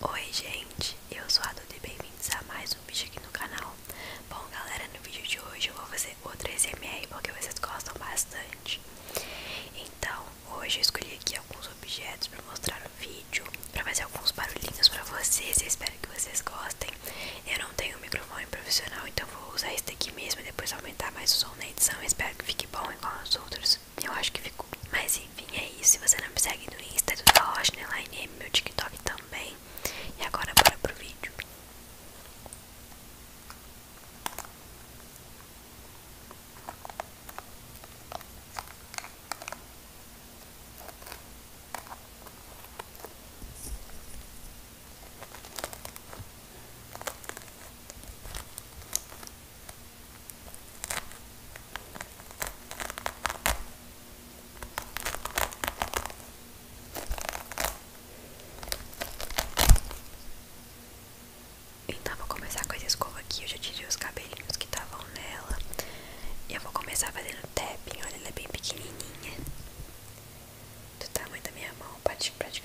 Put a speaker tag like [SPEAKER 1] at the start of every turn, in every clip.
[SPEAKER 1] Oi gente, eu sou a Duda e bem-vindos a mais um vídeo aqui no canal Bom galera, no vídeo de hoje eu vou fazer outra SMR porque vocês gostam bastante Então, hoje eu escolhi aqui alguns objetos para mostrar no vídeo Pra fazer alguns barulhinhos pra vocês, eu espero que vocês gostem Eu não tenho um microfone profissional, então vou usar este aqui mesmo e depois aumentar mais o som na edição Espero que fique bom igual aos outros eu acho que ficou. Mas enfim, é isso. Se você não me segue no Insta, é tudo da Rochneline, meu TikTok também. E agora bora pro vídeo. Então, vou começar com essa escova aqui. Eu já tirei os cabelinhos que estavam nela. E eu vou começar fazendo tapping. Olha, ela é bem pequenininha. Do tamanho da minha mão, praticamente.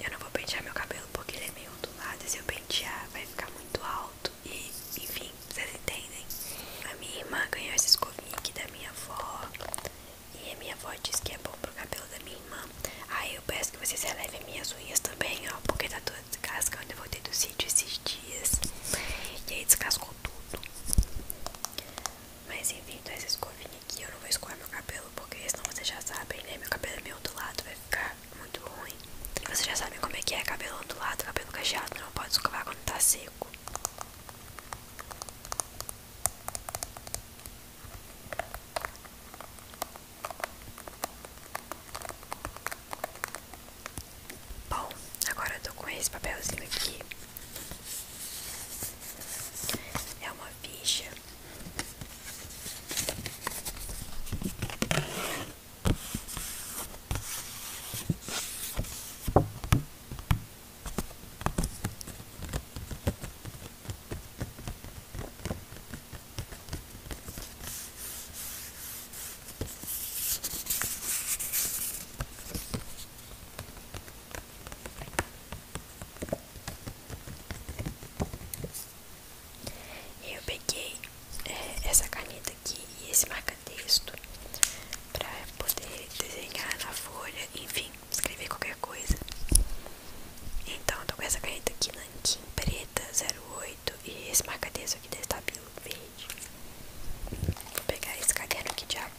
[SPEAKER 1] Eu não vou pentear meu cabelo porque ele é meio ondulado. E se eu pentear, vai ficar muito alto e, enfim, vocês entendem. A minha irmã ganhou esse aqui da minha avó e a minha avó disse que é bom pro cabelo da minha irmã. Aí eu peço que vocês relevem minhas unhas também, ó, porque tá toda descascando. Eu voltei do sítio esses dias e aí descascou tudo. Mas enfim, então essa escovinha aqui eu não vou escovar meu cabelo porque senão vocês já sabem, né? Meu cabelo é meio ondulado, vai ficar muito ruim. Vocês já sabem como é que é cabelo ondulado, cabelo cacheado, não pode escovar quando tá seco. Bom, agora eu tô com esse papelzinho aqui. É uma ficha. Eu peguei é, essa caneta aqui e esse marca-texto para poder desenhar na folha, enfim, escrever qualquer coisa. Então, eu tô com essa caneta aqui, Nankin preta 08 e esse marca-texto aqui da Estabilo verde. Vou pegar esse caderno aqui de apoio.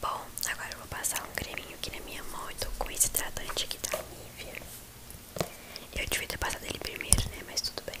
[SPEAKER 1] Bom, agora eu vou passar um creminho aqui na minha mão. e tô com esse hidratante aqui da Nivea. Eu devia ter passado ele primeiro, né? Mas tudo bem.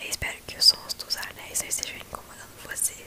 [SPEAKER 1] Eu espero que os sons dos anéis não estejam incomodando vocês.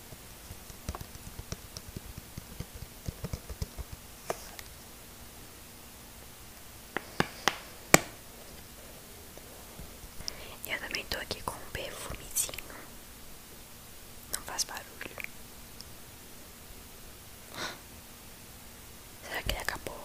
[SPEAKER 1] Eu também estou aqui com um perfumezinho. Não faz barulho. Será que ele acabou?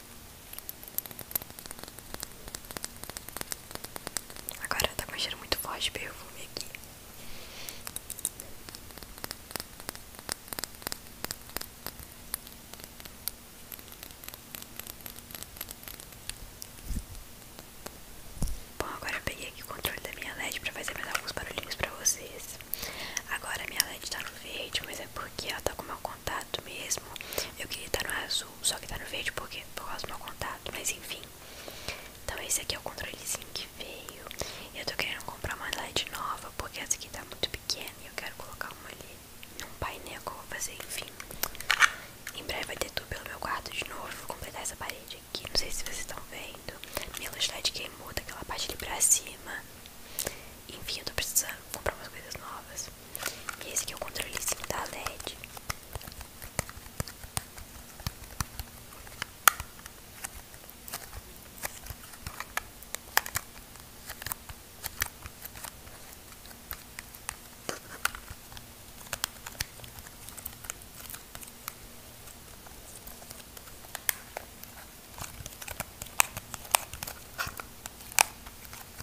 [SPEAKER 1] Agora tá com um cheiro muito forte de perfume aqui. Bom, agora eu peguei aqui o controle da minha LED pra fazer mais alguns barulhinhos pra vocês. Agora a minha LED tá no verde, mas é porque ela tá com o meu contato mesmo. Eu queria estar no azul, só que tá no vídeo porque por causa do meu contato, mas enfim. Então esse aqui é o controlezinho que veio. Eu tô querendo comprar uma LED nova, porque essa aqui tá muito pequena e eu quero colocar uma ali num painel que eu vou fazer, enfim. Em breve vai ter tudo pelo meu quarto de novo. Vou completar essa parede aqui. Não sei se vocês estão vendo. Minha luz LED queimou daquela parte ali pra cima. Enfim, eu tô precisando comprar umas coisas novas. E esse que é o controlezinho da LED.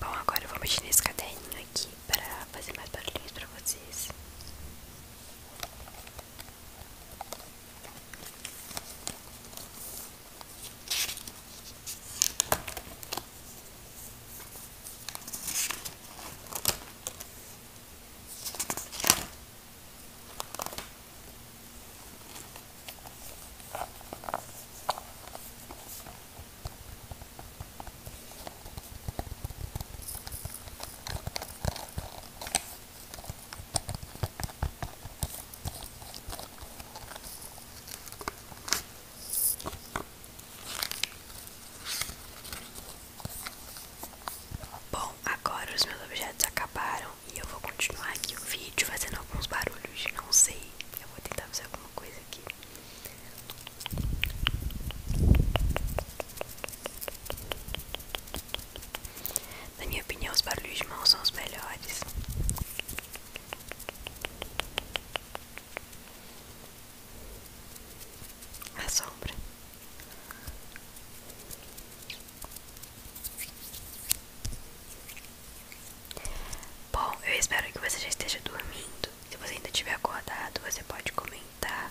[SPEAKER 1] Bom, agora eu vou mexer nesse caderninho aqui para fazer mais barulhinhos para vocês. Bom, agora os meus objetos acabaram e eu vou continuar aqui o vídeo fazendo alguns barulhos. Não sei, eu vou tentar fazer alguma coisa aqui. Na minha opinião, os barulhos de mão são os melhores. A sombra. Bom, eu espero que você já esteja dormindo. Se você ainda tiver acordado, você pode comentar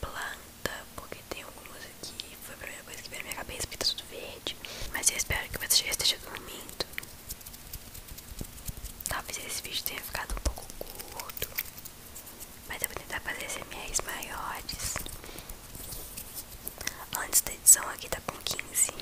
[SPEAKER 1] planta, porque tem algumas aqui. Foi a primeira coisa que veio minha cabeça, porque tá tudo verde. Mas eu espero que você esteja no momento Talvez esse vídeo tenha ficado um pouco curto. Mas eu vou tentar fazer SMRs maiores. Antes da edição aqui tá com 15.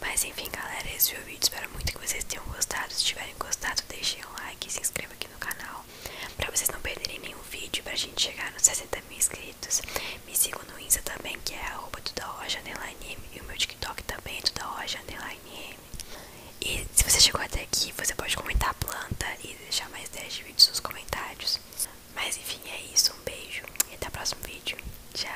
[SPEAKER 1] Mas enfim galera, esse foi o vídeo, espero muito que vocês tenham gostado Se tiverem gostado, deixem um like se inscreva aqui no canal Pra vocês não perderem nenhum vídeo, pra gente chegar nos 60 mil inscritos Me sigam no Insta também, que é arroba tudaroja__m E o meu TikTok também é tudaroja__m e se você chegou até aqui, você pode comentar a planta e deixar mais 10 vídeos nos comentários. Mas enfim, é isso. Um beijo e até o próximo vídeo. Tchau!